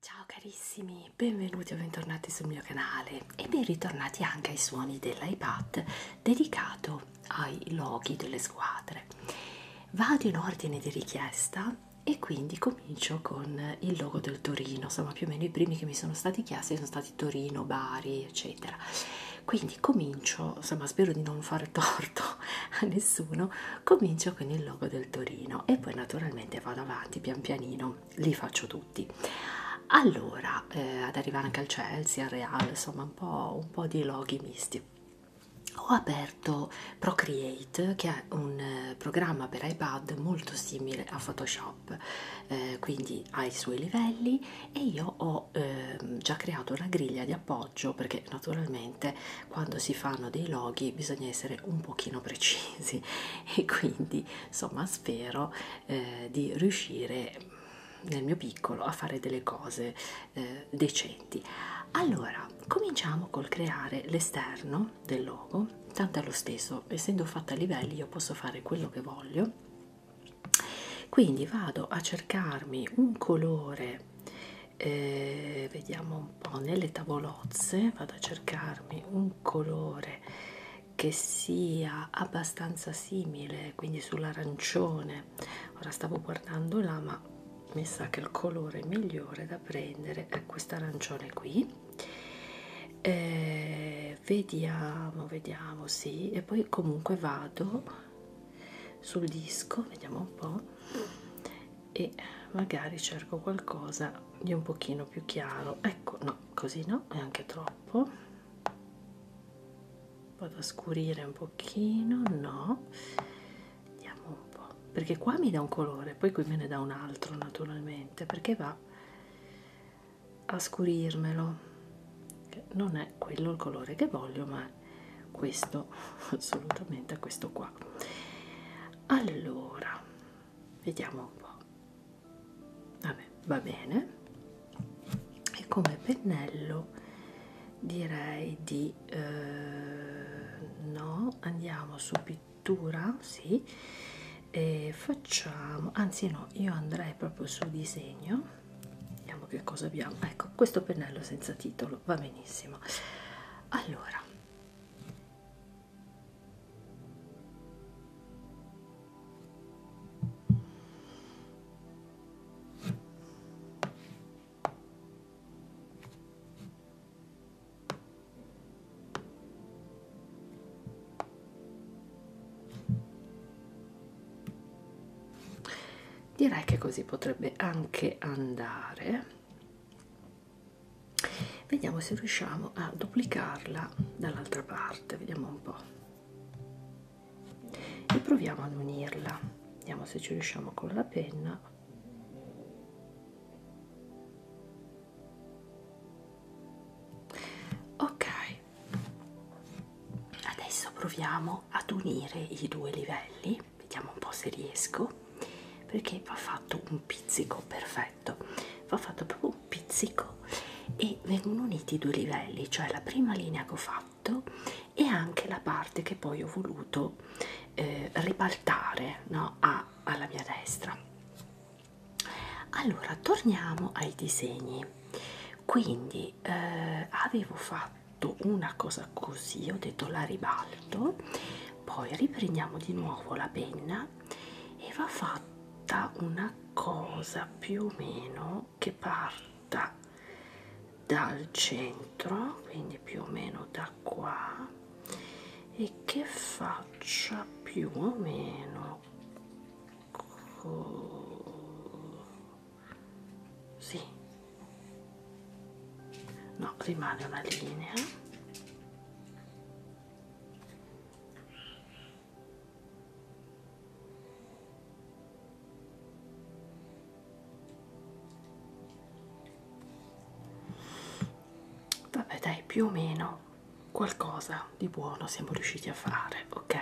Ciao carissimi, benvenuti o bentornati sul mio canale e ben ritornati anche ai suoni dell'iPad dedicato ai loghi delle squadre. Vado in ordine di richiesta e quindi comincio con il logo del Torino, insomma più o meno i primi che mi sono stati chiesti sono stati Torino, Bari, eccetera. Quindi quindi comincio insomma spero di non fare torto a nessuno comincio con il logo del Torino e poi naturalmente vado avanti pian pianino li faccio tutti allora eh, ad arrivare anche al Chelsea al Real insomma un po', un po' di loghi misti ho aperto Procreate che è un eh, programma per iPad molto simile a Photoshop eh, quindi ha i suoi livelli e io ho eh, già creato una griglia di appoggio perché naturalmente quando si fanno dei loghi bisogna essere un pochino precisi e quindi insomma spero eh, di riuscire nel mio piccolo a fare delle cose eh, decenti allora cominciamo col creare l'esterno del logo tanto è lo stesso essendo fatta a livelli io posso fare quello che voglio quindi vado a cercarmi un colore eh, vediamo un po' nelle tavolozze vado a cercarmi un colore che sia abbastanza simile quindi sull'arancione ora stavo guardando là ma mi sa che il colore migliore da prendere è questo arancione qui eh, vediamo vediamo sì e poi comunque vado sul disco vediamo un po e magari cerco qualcosa di un pochino più chiaro ecco no così no è anche troppo vado a scurire un pochino no vediamo un po perché qua mi dà un colore poi qui me ne dà un altro naturalmente perché va a scurirmelo non è quello il colore che voglio ma ma questo assolutamente questo qua allora vediamo un po vabbè va bene e come pennello direi di eh, no andiamo su pittura sì e facciamo anzi no io andrei proprio su disegno vediamo che cosa abbiamo ecco questo pennello senza titolo giorno va benissimo allora Direi che così potrebbe anche andare vediamo se riusciamo a duplicarla dall'altra parte vediamo un po e proviamo ad unirla vediamo se ci riusciamo con la penna ok adesso proviamo ad unire i due livelli vediamo un po' se riesco perché va fatto un pizzico perfetto va fatto proprio un pizzico e vengono uniti i due livelli cioè la prima linea che ho fatto e anche la parte che poi ho voluto eh, ribaltare no? A, alla mia destra allora torniamo ai disegni quindi eh, avevo fatto fatto una cosa così ho detto la ribalto poi riprendiamo di nuovo la penna e va fatta una cosa più o meno che parta dal centro quindi più o meno da qua e che faccia più o meno così no rimane una linea vabbè dai più o meno qualcosa di buono siamo riusciti a fare ok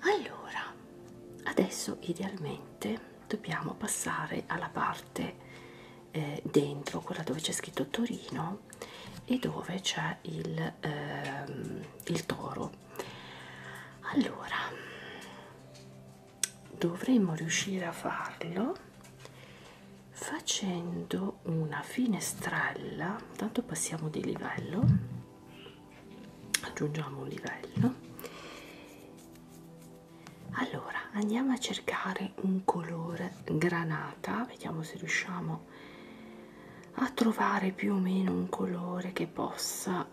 allora adesso idealmente dobbiamo passare alla parte eh, dentro, quella dove c'è scritto Torino e dove c'è il, ehm, il toro. Allora, dovremmo riuscire a farlo facendo una finestrella, tanto passiamo di livello, aggiungiamo un livello allora andiamo a cercare un colore granata vediamo se riusciamo a trovare più o meno un colore che possa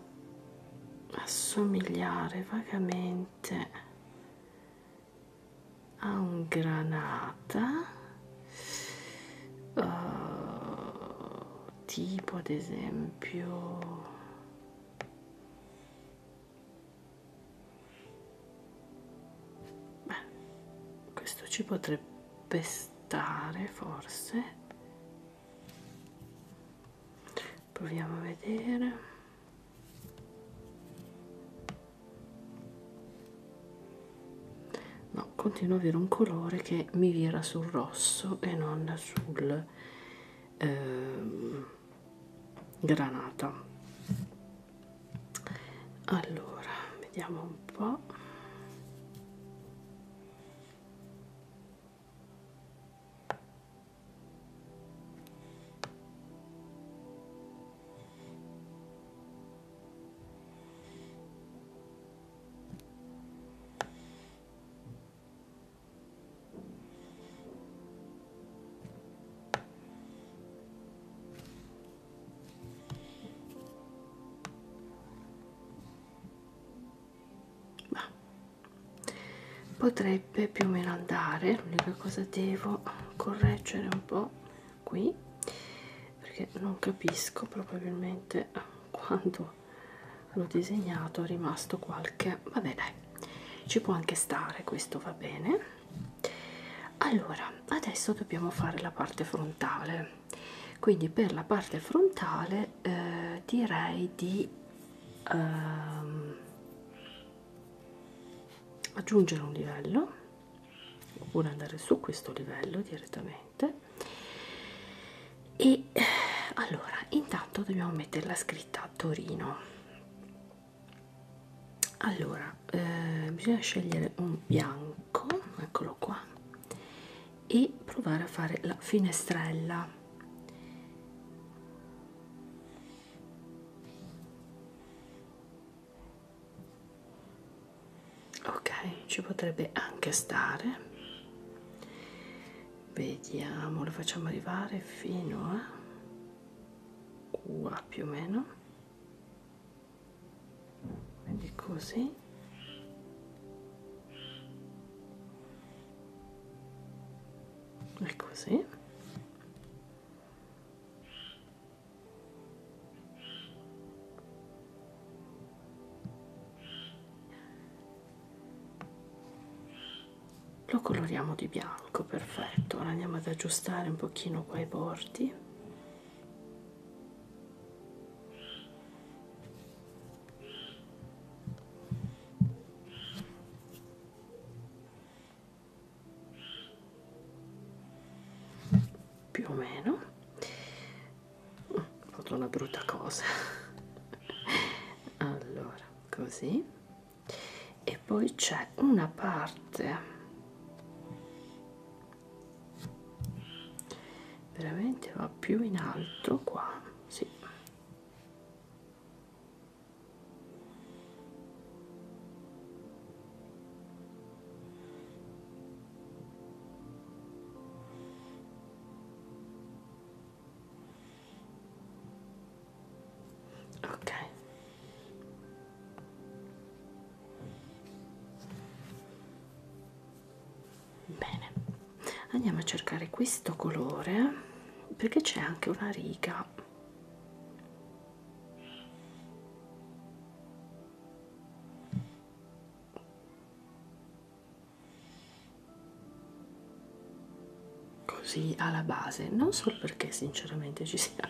assomigliare vagamente a un granata uh, tipo ad esempio Beh, questo ci potrebbe stare forse. Proviamo a vedere. No, continuo ad avere un colore che mi vira sul rosso e non sul... Ehm, granata allora vediamo un po ma potrebbe più o meno andare, l'unica cosa devo correggere un po' qui perché non capisco probabilmente quando l'ho disegnato è rimasto qualche vabbè dai ci può anche stare questo va bene allora adesso dobbiamo fare la parte frontale quindi per la parte frontale eh, direi di ehm, aggiungere un livello oppure andare su questo livello direttamente e allora intanto dobbiamo mettere la scritta a Torino allora eh, bisogna scegliere un bianco eccolo qua e provare a fare la finestrella ok ci potrebbe anche stare vediamo lo facciamo arrivare fino a qua più o meno quindi così e così lo coloriamo di bianco perfetto ora andiamo ad aggiustare un pochino qua i bordi più o meno ho fatto una brutta cosa allora così e poi c'è una parte veramente va più in alto qua sì ok bene andiamo a cercare questo colore perché c'è anche una riga così alla base non solo perché sinceramente ci sia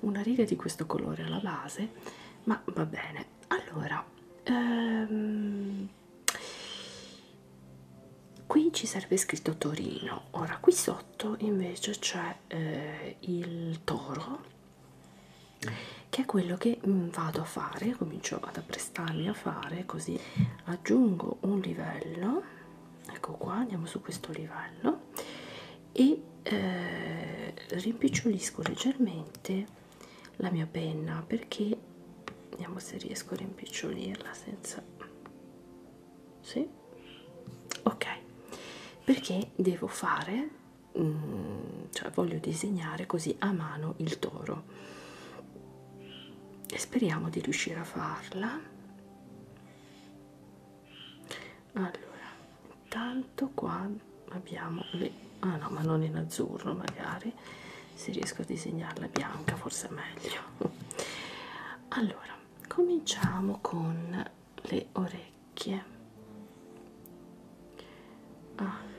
una riga di questo colore alla base ma va bene allora ehm, qui ci serve scritto Torino ora qui sotto invece c'è eh, il toro che è quello che mm, vado a fare comincio ad apprestarmi a fare così aggiungo un livello ecco qua andiamo su questo livello e eh, rimpicciolisco leggermente la mia penna perché vediamo se riesco a rimpicciolirla senza sì ok perché devo fare mh, mm, cioè voglio disegnare così a mano il toro e speriamo di riuscire a farla allora intanto qua abbiamo le ah no ma non in azzurro magari se riesco a disegnarla bianca forse è meglio allora cominciamo con le orecchie allora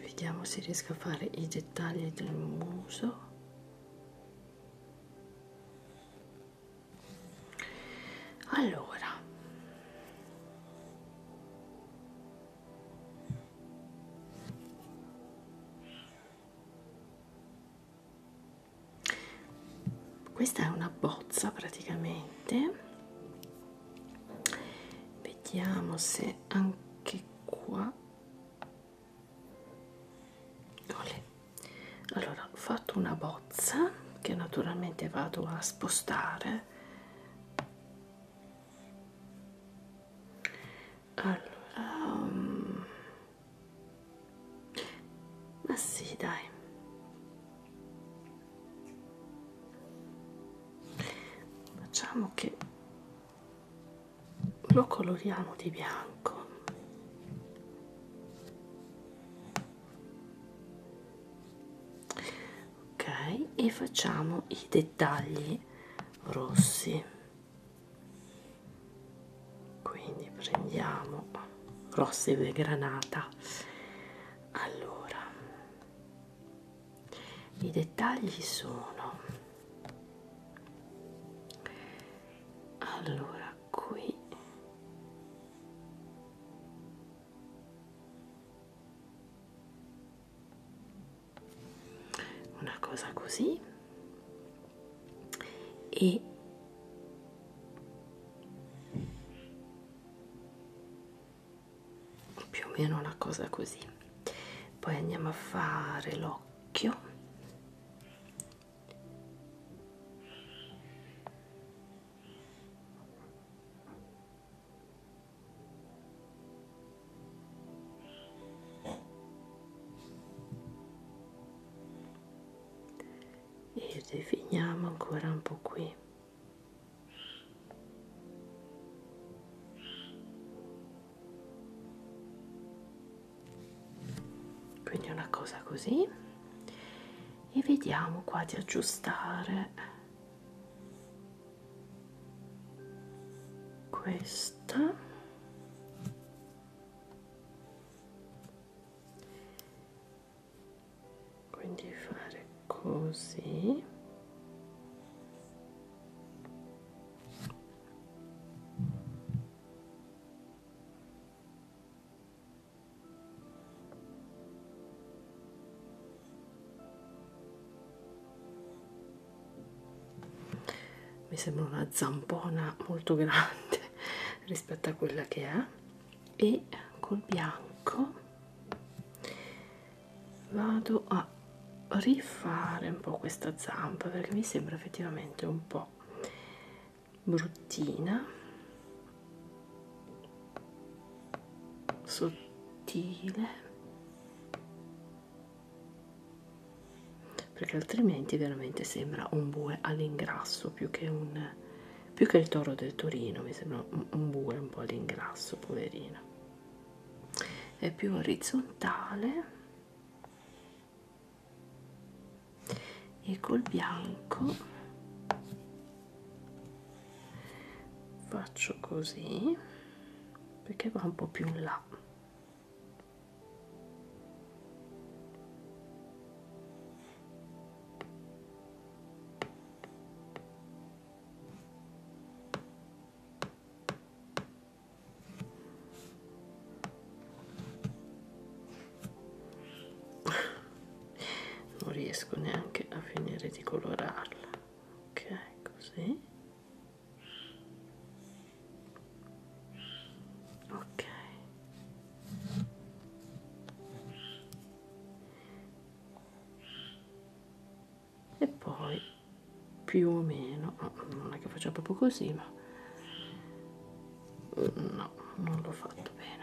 vediamo se riesco a fare i dettagli del muso allora questa è una bozza praticamente vediamo se anche qua ho le allora ho fatto una bozza che naturalmente vado a spostare allora um, ma sì dai facciamo che lo coloriamo di bianco ok e facciamo i dettagli rossi quindi prendiamo rossi di granata allora i dettagli sono allora qui una cosa così e più o meno una cosa così poi andiamo a fare l'occhio e definiamo ancora un po' qui quindi una cosa così e vediamo qua di aggiustare questa quindi fare così mi sembra una zampona molto grande rispetto a quella che è e col bianco vado a rifare un po' questa zampa perché mi sembra effettivamente un po' bruttina sottile perché altrimenti veramente sembra un bue all'ingrasso più che un più che il toro del Torino mi sembra un, un bue un po' all'ingrasso poverino è più orizzontale e col bianco faccio così perché va un po' più in là non riesco neanche a finire di colorarla ok così ok e poi più o meno non è che faccia proprio così ma no non l'ho fatto bene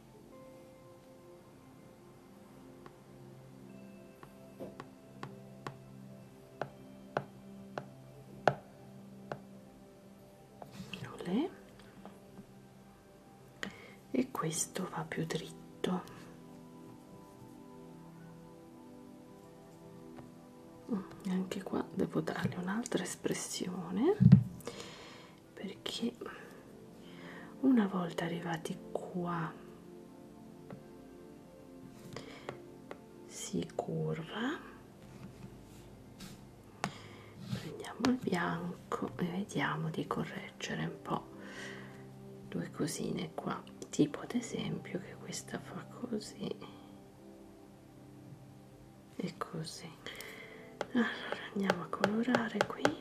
Olè. e questo va più dritto mm, anche qua devo dargli un'altra espressione perché una volta arrivati qua si curva prendiamo il bianco e vediamo di correggere un po due cosine qua tipo ad esempio che questa fa così e così allora andiamo a colorare qui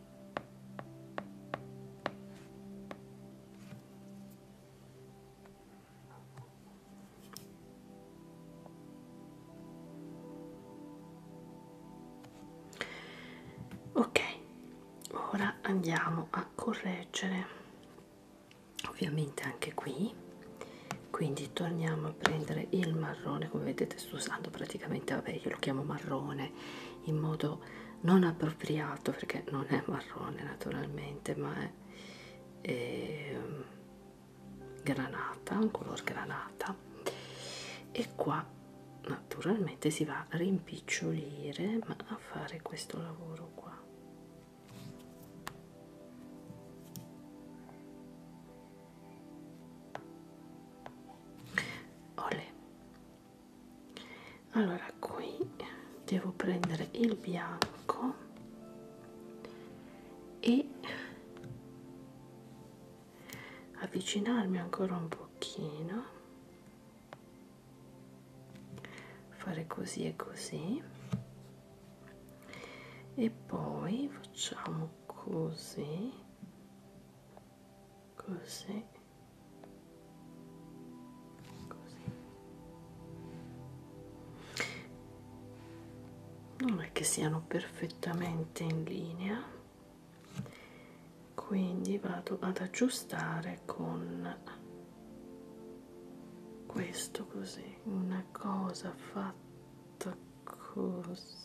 ok ora andiamo a correggere ovviamente anche qui quindi torniamo a prendere il marrone come vedete sto usando praticamente vabbè io lo chiamo marrone in modo non appropriato perché non è marrone naturalmente ma è, è ehm, granata un color granata e qua naturalmente si va a rimpicciolire ma a fare questo lavoro qua Olè, allora qui devo prendere il bianco e avvicinarmi ancora un pochino fare così e così e poi facciamo così così così non è che siano perfettamente in linea quindi vado ad aggiustare con questo così una cosa fatta così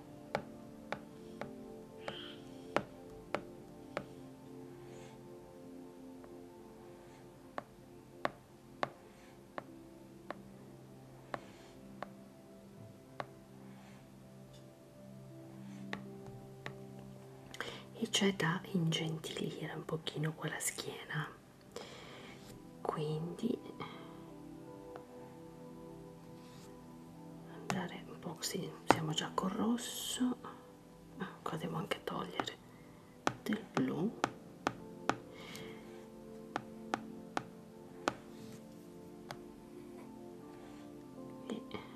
e c'è cioè da ingentilire un pochino quella schiena quindi andare un po' così siamo già col rosso ah, qua devo anche togliere del blu e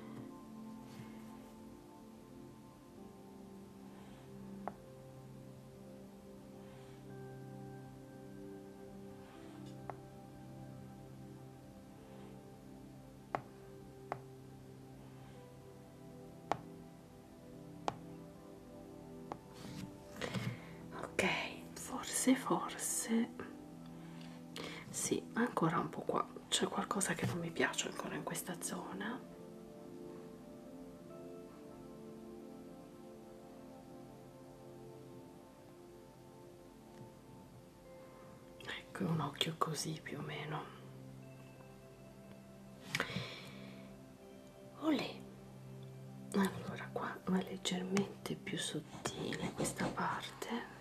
ok forse forse sì ancora un po qua c'è qualcosa che non mi piace ancora in questa zona ecco un occhio così più o meno olè allora qua è leggermente più sottile questa parte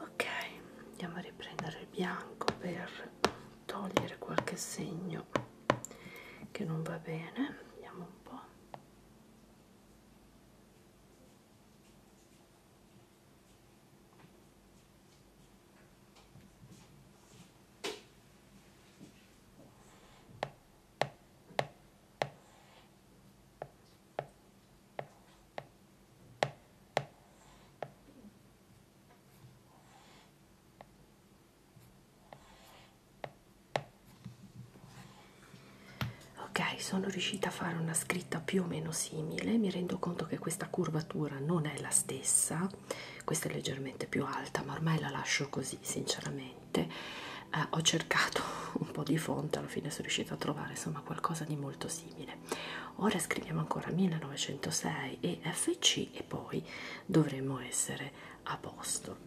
ok andiamo a riprendere il bianco per togliere qualche segno che non va bene vediamo un po' Ok, sono riuscita a fare una scritta più o meno simile, mi rendo conto che questa curvatura non è la stessa, questa è leggermente più alta, ma ormai la lascio così sinceramente niente eh, ho cercato un po' di fonte alla fine sono riuscita a trovare insomma qualcosa di molto simile ora scriviamo ancora 1906 e FC e poi dovremmo essere a posto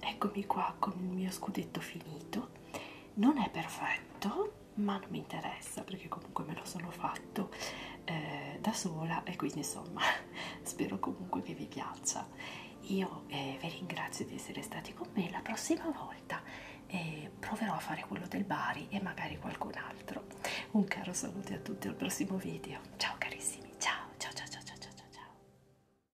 eccomi qua con il mio scudetto finito non è perfetto ma non mi interessa perché comunque me lo sono fatto eh, da sola e quindi insomma spero comunque che vi piaccia io eh, vi ringrazio di essere stati con me la prossima volta eh, proverò a fare quello del Bari e magari qualcun altro un caro saluto a tutti al prossimo video ciao carissimi ciao ciao ciao ciao ciao ciao ciao